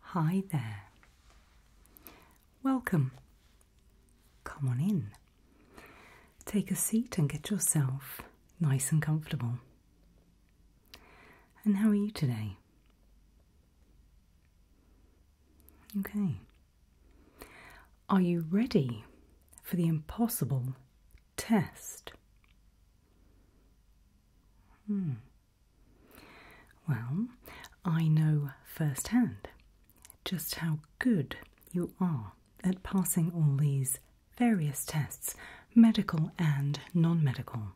Hi there. Welcome. Come on in. Take a seat and get yourself nice and comfortable. And how are you today? Okay. Are you ready for the impossible test? Hmm. Well, I know firsthand just how good you are at passing all these various tests, medical and non medical.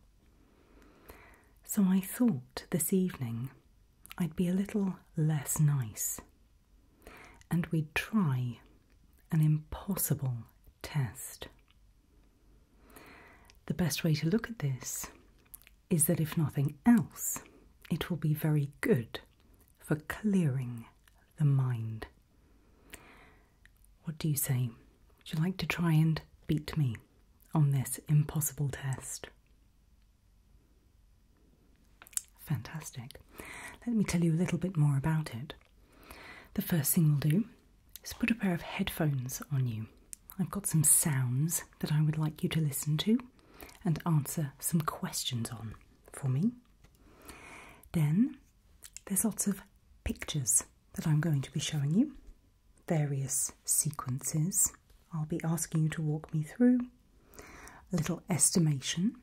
So I thought this evening I'd be a little less nice and we'd try an impossible test. The best way to look at this is that if nothing else, it will be very good for clearing the mind. What do you say? Would you like to try and beat me on this impossible test? Fantastic. Let me tell you a little bit more about it. The first thing we'll do is put a pair of headphones on you. I've got some sounds that I would like you to listen to and answer some questions on for me. Then there's lots of pictures that I'm going to be showing you, various sequences I'll be asking you to walk me through, a little estimation,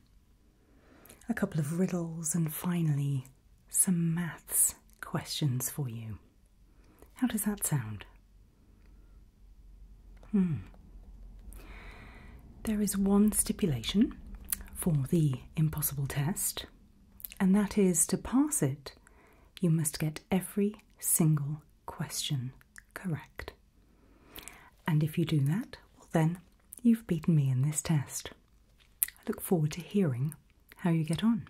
a couple of riddles, and finally some maths questions for you. How does that sound? Hmm. There is one stipulation for the impossible test, and that is to pass it, you must get every single question correct. And if you do that, well, then you've beaten me in this test. I look forward to hearing how you get on.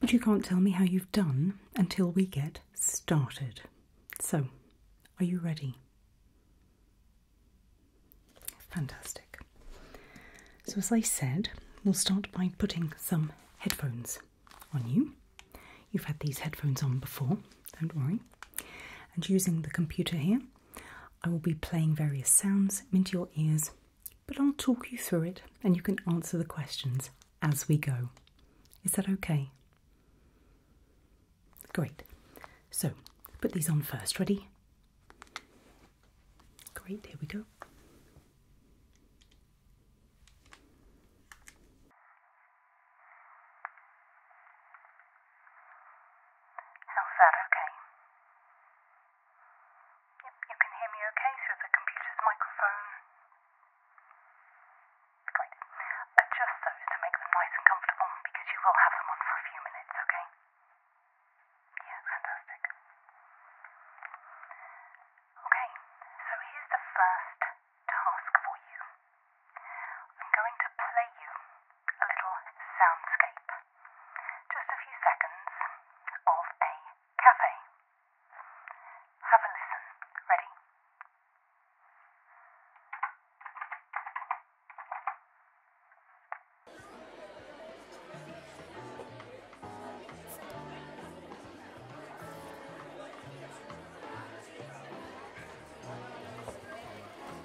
But you can't tell me how you've done until we get started. So, are you ready? Fantastic. So, as I said, we'll start by putting some headphones on you. You've had these headphones on before, don't worry. And using the computer here, I will be playing various sounds into your ears, but I'll talk you through it and you can answer the questions as we go. Is that okay? Great. So, put these on first. Ready? Great, here we go. How's that okay? Yep, you can hear me okay through the computer's microphone. Great. Adjust those to make them nice and comfortable because you will have them on for a few minutes, okay? Yeah, fantastic. Okay, so here's the first task for you. I'm going to play you a little soundscape. Just a few seconds of a cafe. Have a listen. Ready?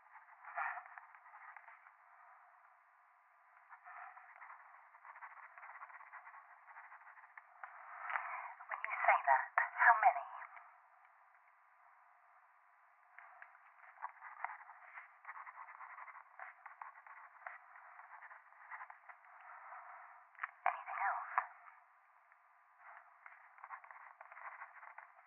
When you say that, how many? Anything else?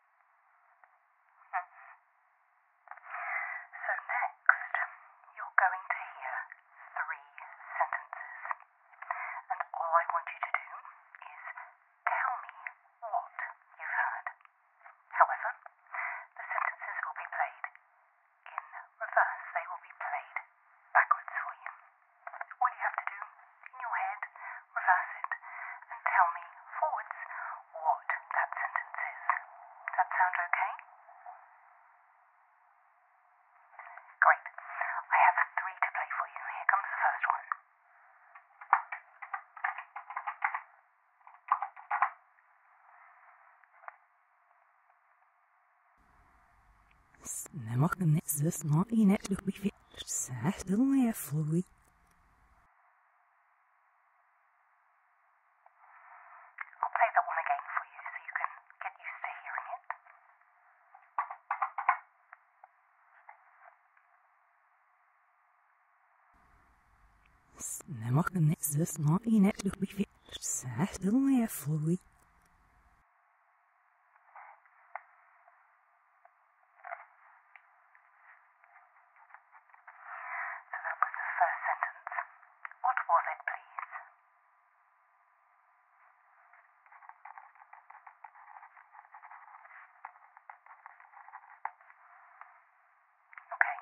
So next, you're going to hear three sentences, and all I want you to do is tell me what you've heard. However, the sentences will be played in reverse, they will be played backwards for you. All you have to do in your head, reverse it, and tell me forwards what that sentence is. Does that sound okay? Great. I have three to play for you. Here comes the first one. Snemakken is dus nog in het luchtbeveer. Zeg, wil je vloeien? I'll play that one again for you so you can get used to hearing it. Snakker net zo snel in het luchtbeveer, zeg dan weer vloeit. So that was the first sentence. What was it, please? Okay.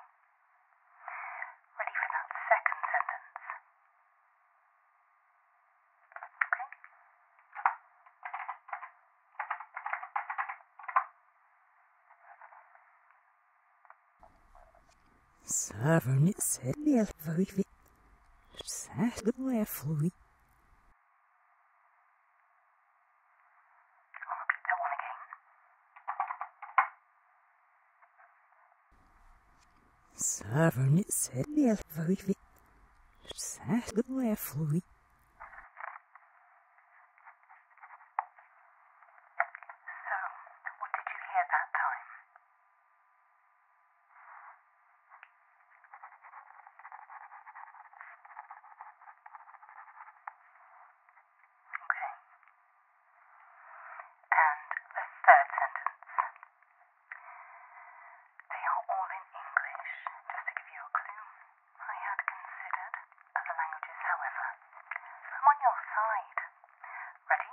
Ready for that second sentence? Okay. Serverne sedmiel vruvi. Särskilda flui. Serverne sedmiel vruvi. Särskilda flui. So, what did you hear that time? Okay. And the third sentence. They are all in English, just to give you a clue. I had considered other languages, however. I'm on your side. Ready?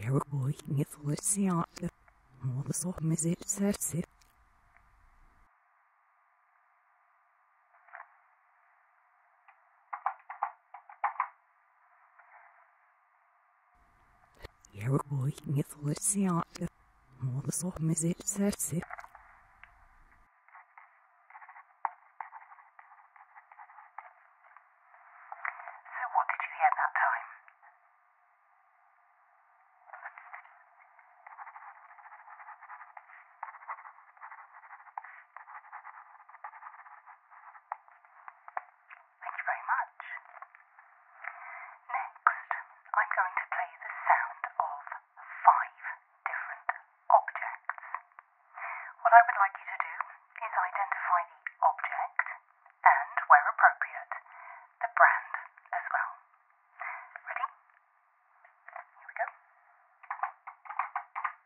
Yaroboyin yazılışı yaptı. Moğolsu mezil sersi boy, er you the Yargılayın yazılışı yaptı. Mola sohmezi sersi. Thank you very much. Next, I'm going to play the sound of five different objects. What I would like you to do is identify the object and, where appropriate, the brand as well. Ready? Here we go.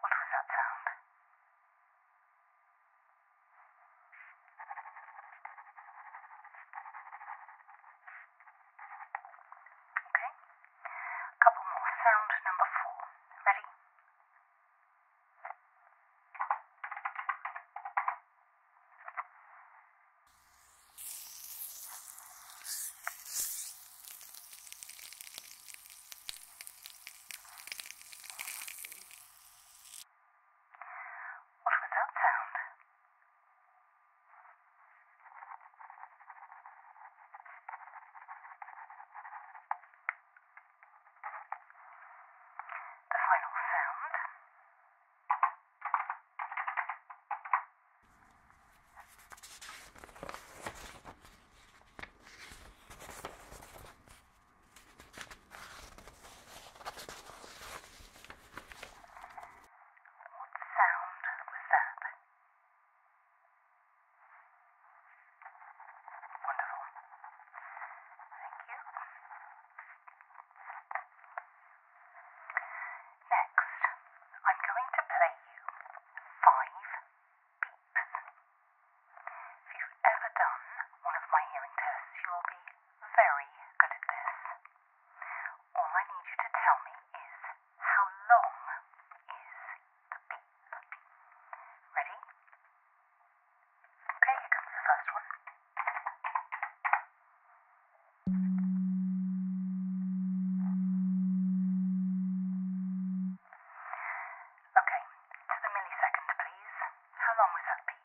What was that sound? Okay? A couple more. Sound number four. Ready? What was that sound? The final sound. What sound was that? Wonderful. Thank you. Next, I'm going to play you five beeps. If you've ever done one of my hearing tests, you'll be very good at this all I need you to tell me is how long is the beep? Ready? here comes the first one. Okay, to the millisecond, please. How long was that beep?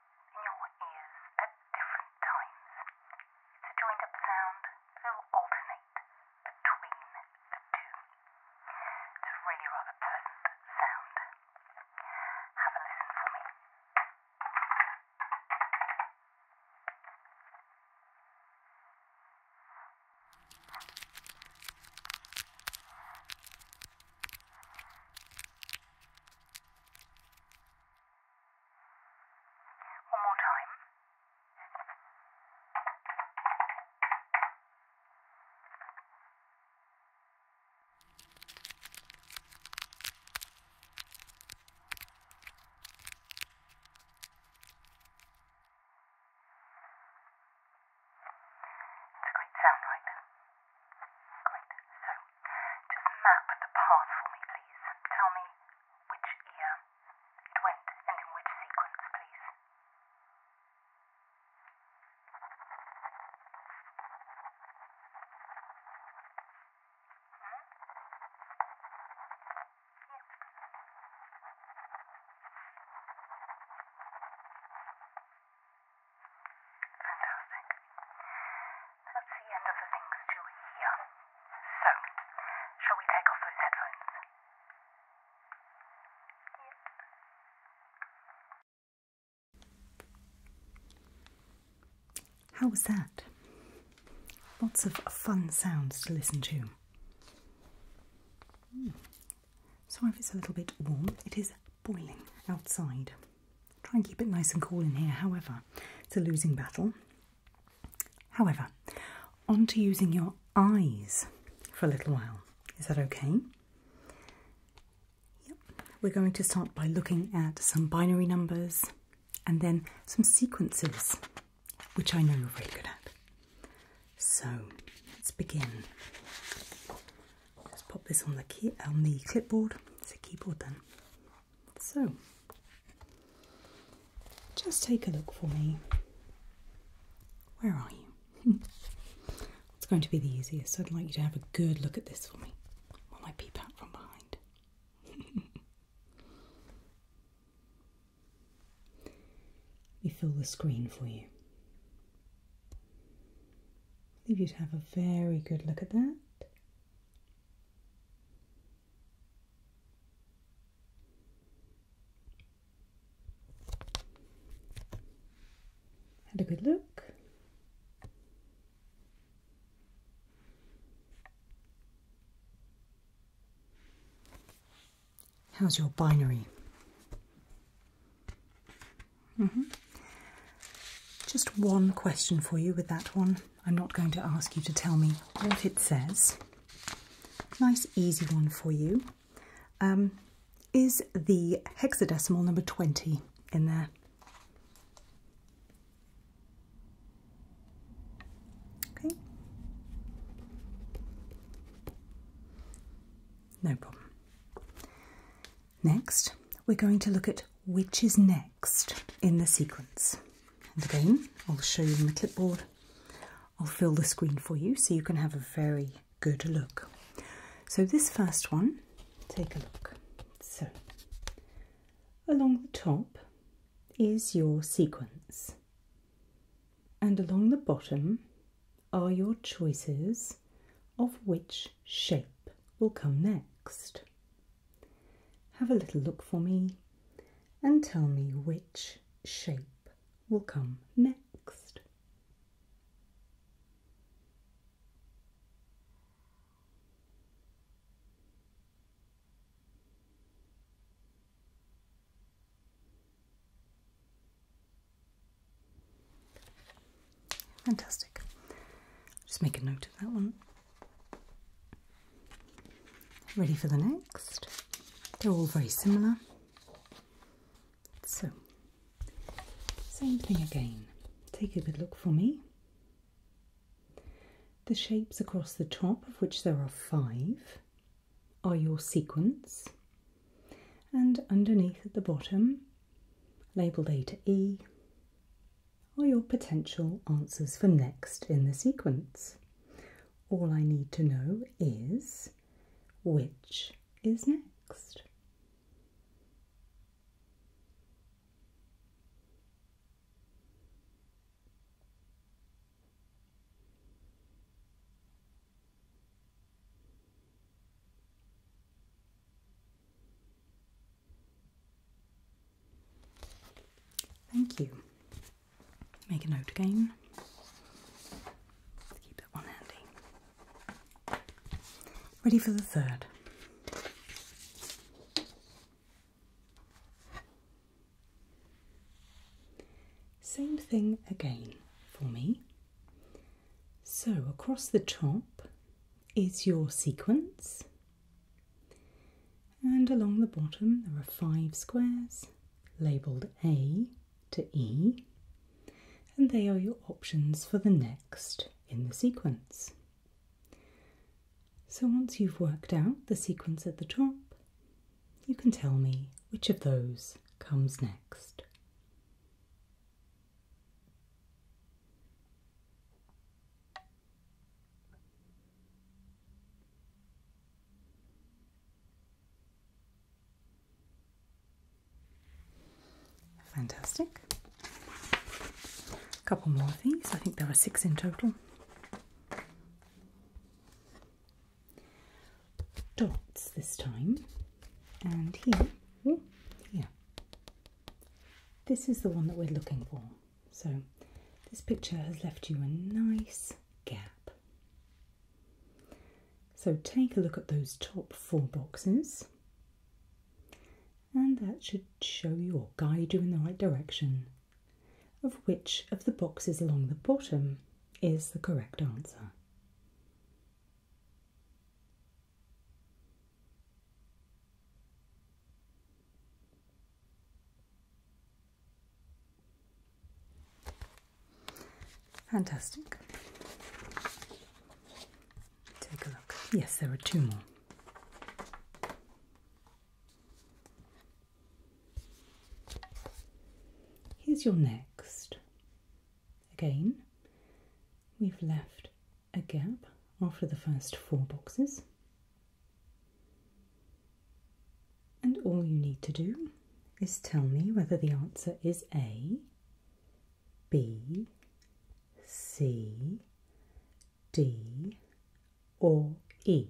your ears at different times. The joined up sound will alternate between the two. It's a really rather pleasant sound. Have a listen for me. One more time. It's a great sound, right? Great. So, just map the path for me, please. Tell me which ear it went and in which sequence, please. Hmm? Yeah. Fantastic. That's the end of the things to hear. So, shall we take off those headphones? How was that? Lots of fun sounds to listen to. Mm. Sorry if it's a little bit warm, it is boiling outside. Try and keep it nice and cool in here, however, it's a losing battle. However, on to using your eyes for a little while. Is that okay? Yep. We're going to start by looking at some binary numbers and then some sequences, which I know you're very good at. So let's begin. Just pop this on the key on the clipboard. It's a keyboard then. So just take a look for me. Where are you? it's going to be the easiest. I'd like you to have a good look at this for me while I peep out from behind. Let me fill the screen for you. Leave you to have a very good look at that. Had a good look. How's your binary? Mm-hmm. Just one question for you with that one. I'm not going to ask you to tell me what it says. Nice, easy one for you. Um, is the hexadecimal number 20 in there? Okay. No problem. Next, we're going to look at which is next in the sequence. And again, I'll show you on the clipboard. I'll fill the screen for you so you can have a very good look. So, this first one, take a look. So, along the top is your sequence, and along the bottom are your choices of which shape will come next. Have a little look for me and tell me which shape will come next. Fantastic. Just make a note of that one. Ready for the next? They're all very similar. So, same thing again. Take a good look for me. The shapes across the top, of which there are five, are your sequence and underneath at the bottom, labelled A to E, are your potential answers for next in the sequence. All I need to know is which is next. Thank you. Make a note again. keep that one handy. Ready for the third. Same thing again for me. So, across the top is your sequence, and along the bottom there are five squares labelled A to E, and they are your options for the next in the sequence. So, once you've worked out the sequence at the top, you can tell me which of those comes next. Fantastic. A couple more of these. I think there are six in total. Dots this time and here, hmm. here. This is the one that we're looking for. So this picture has left you a nice gap. So take a look at those top four boxes and that should show you or guide you in the right direction of which of the boxes along the bottom is the correct answer. Fantastic. Take a look. Yes, there are two more. Here's your next. Again, we've left a gap after the first four boxes. And all you need to do is tell me whether the answer is A, B, C, D, or E.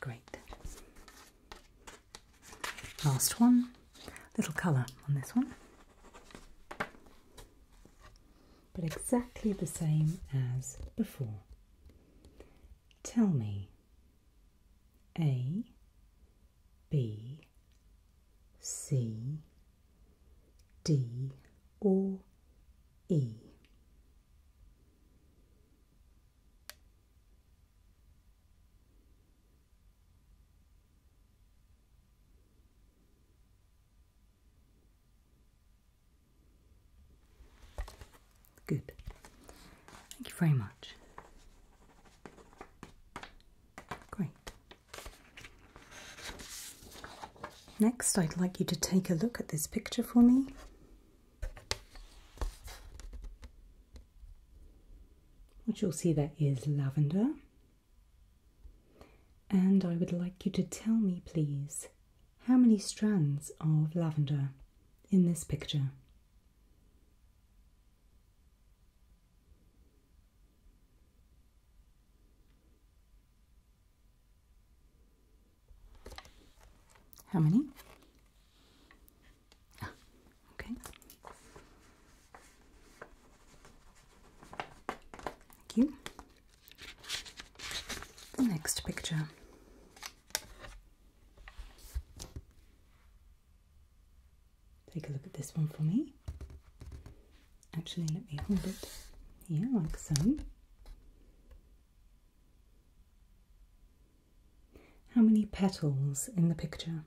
Great. Last one. Little colour on this one. But exactly the same as before. Tell me A, B, C, D, or E. Good. Thank you very much. Great. Next, I'd like you to take a look at this picture for me. What you'll see there is lavender. And I would like you to tell me, please, how many strands of lavender in this picture? How many? Ah, okay. Thank you. The next picture. Take a look at this one for me. Actually, let me hold it here like so. How many petals in the picture?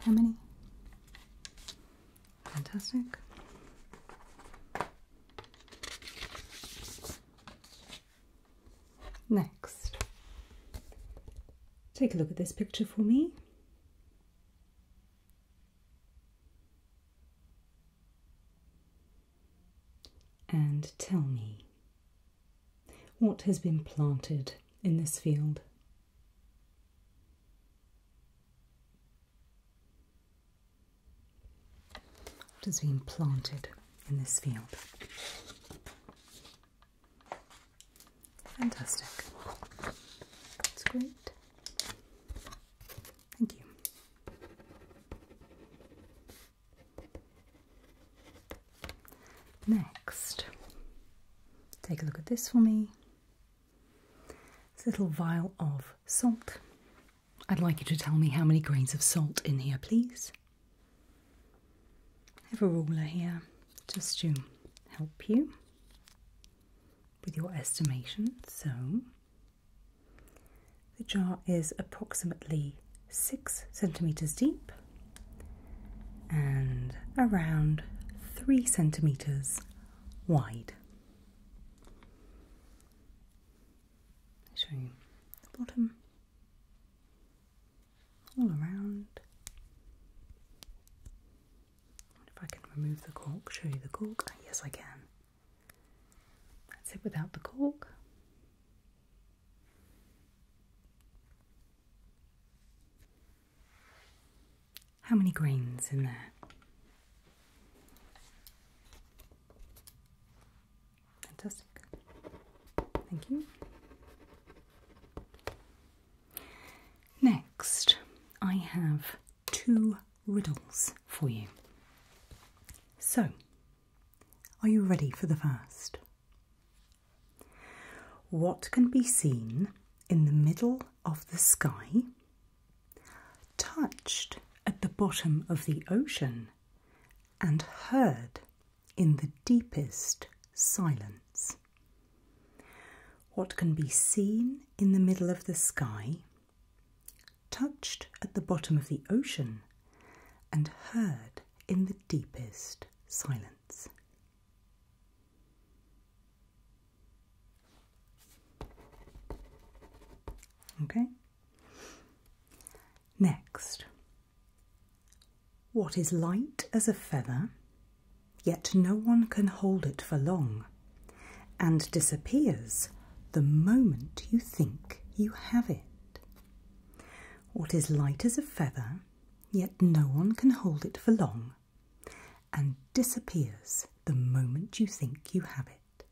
How many? Fantastic. Next, take a look at this picture for me. And tell me what has been planted in this field. What has been planted in this field? Fantastic. That's great. Thank you. Next, take a look at this for me. It's a little vial of salt I'd like you to tell me how many grains of salt in here, please. I have a ruler here just to help you with your estimation. So the jar is approximately six centimeters deep and around three centimeters wide show you the bottom all around. If I can remove the cork, show you the cork. Ah, yes, I can. That's it without the cork. How many grains in there? Fantastic. Thank you. Next, I have two riddles for you. So, are you ready for the first? What can be seen in the middle of the sky touched at the bottom of the ocean, and heard in the deepest silence. What can be seen in the middle of the sky, touched at the bottom of the ocean, and heard in the deepest silence. Okay? Next, what is light as a feather, yet no one can hold it for long, and disappears the moment you think you have it? What is light as a feather, yet no one can hold it for long, and disappears the moment you think you have it.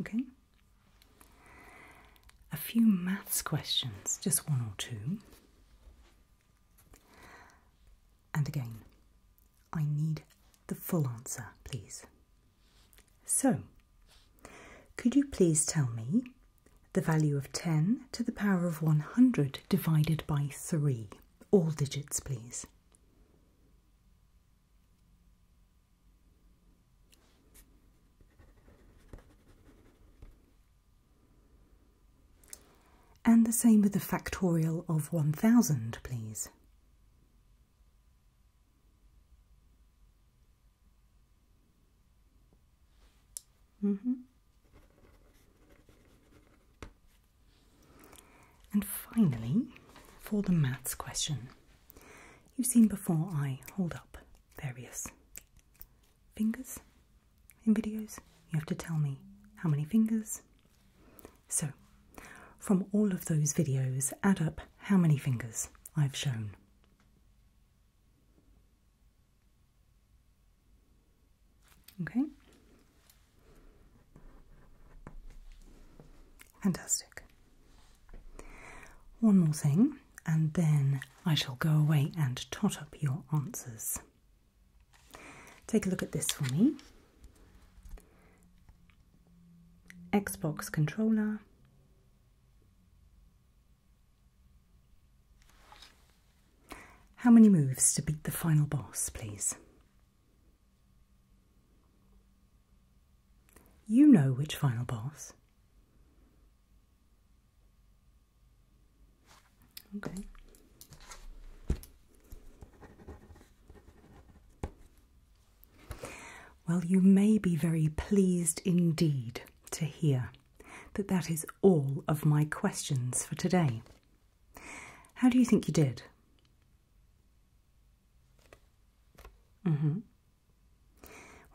Okay. A few maths questions, just one or two. And again, I need the full answer, please. So, could you please tell me the value of 10 to the power of 100 divided by 3. All digits, please. And the same with the factorial of 1000, please. Mm -hmm. And finally, for the maths question, you've seen before I hold up various fingers in videos. You have to tell me how many fingers. So, from all of those videos, add up how many fingers I've shown. Okay. Fantastic. One more thing, and then I shall go away and tot up your answers. Take a look at this for me Xbox controller, how many moves to beat the final boss, please? You know which final boss. Okay. Well, you may be very pleased indeed to hear but that is all of my questions for today. How do you think you did? Mm-hmm.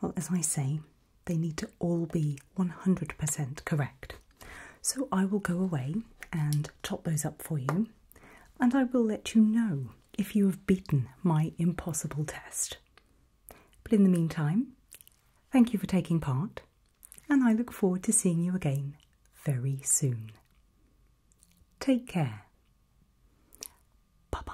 Well, as I say, they need to all be 100% correct. So I will go away and top those up for you, and I will let you know if you have beaten my impossible test. But in the meantime, thank you for taking part, and I look forward to seeing you again very soon. Take care. Bye bye.